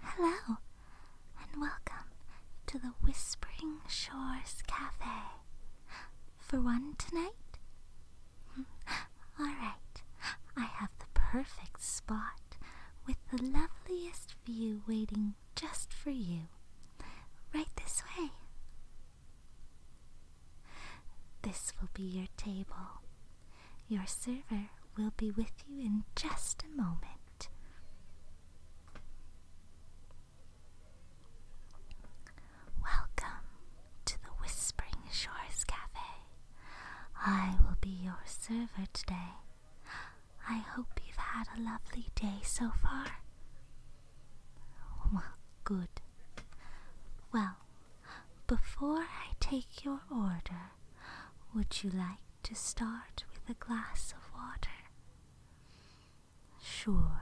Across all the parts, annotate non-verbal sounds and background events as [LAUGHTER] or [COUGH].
Hello, and welcome to the Whispering Shores Cafe. For one tonight? Hmm, Alright, I have the perfect spot with the loveliest view waiting just for you. Right this way. This will be your table. Your server will be with you in just a moment. Welcome to the Whispering Shores Cafe. I will be your server today. I hope you've had a lovely day so far. Well, good. Well, before I take your order, would you like to start with a glass of water? Sure,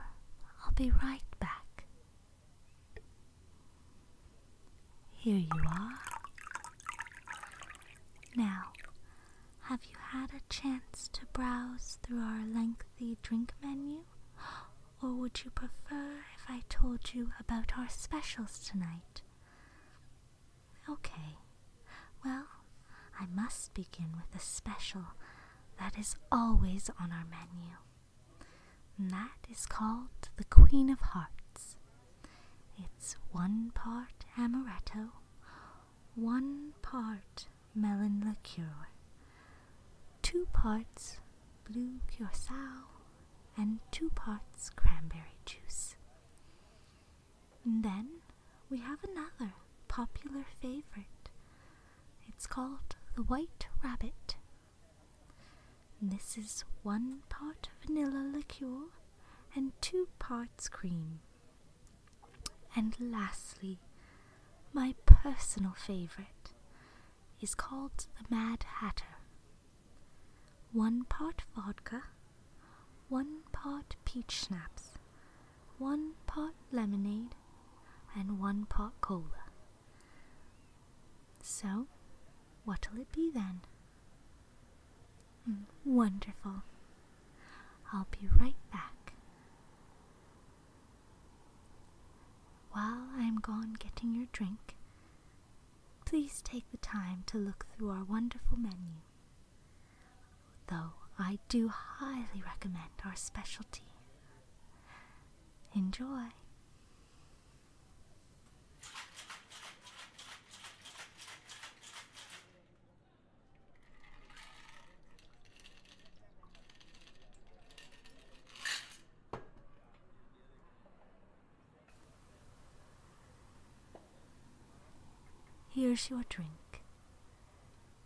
I'll be right back. Here you are. Now, have you had a chance to browse through our lengthy drink menu? [GASPS] Or would you prefer if I told you about our specials tonight? Okay. Well, I must begin with a special that is always on our menu. that is called the Queen of Hearts. It's one part amaretto, 1 part melon liqueur, 2 parts blue curacao, and 2 parts cranberry juice. then we have another popular favorite. It's called the White Rabbit. This is one part vanilla liqueur and two parts cream. And lastly, my personal favorite is called the Mad Hatter. One part vodka, one part peach schnapps, one part lemonade, and one part cola. So, what'll it be then? Wonderful. I'll be right back. While I'm gone getting your drink, please take the time to look through our wonderful menu. Though I do highly recommend our specialty. Enjoy. Here's your drink.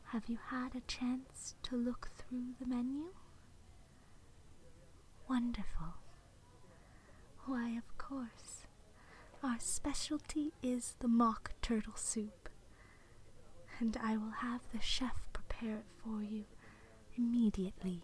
Have you had a chance to look through the menu? Wonderful. Why, of course. Our specialty is the mock turtle soup. And I will have the chef prepare it for you immediately.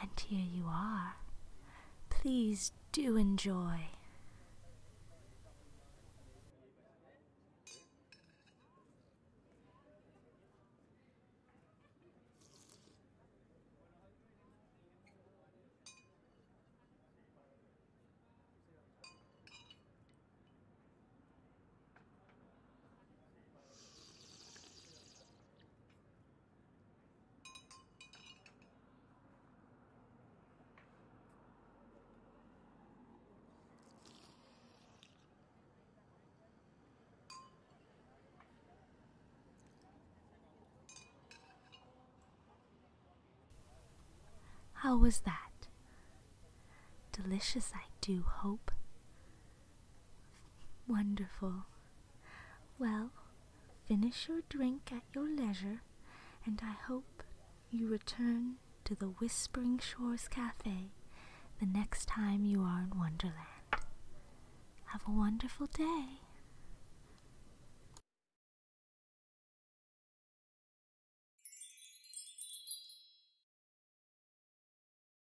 And here you are. Please do enjoy. How was that? Delicious, I do hope. Wonderful. Well, finish your drink at your leisure, and I hope you return to the Whispering Shores Cafe the next time you are in Wonderland. Have a wonderful day.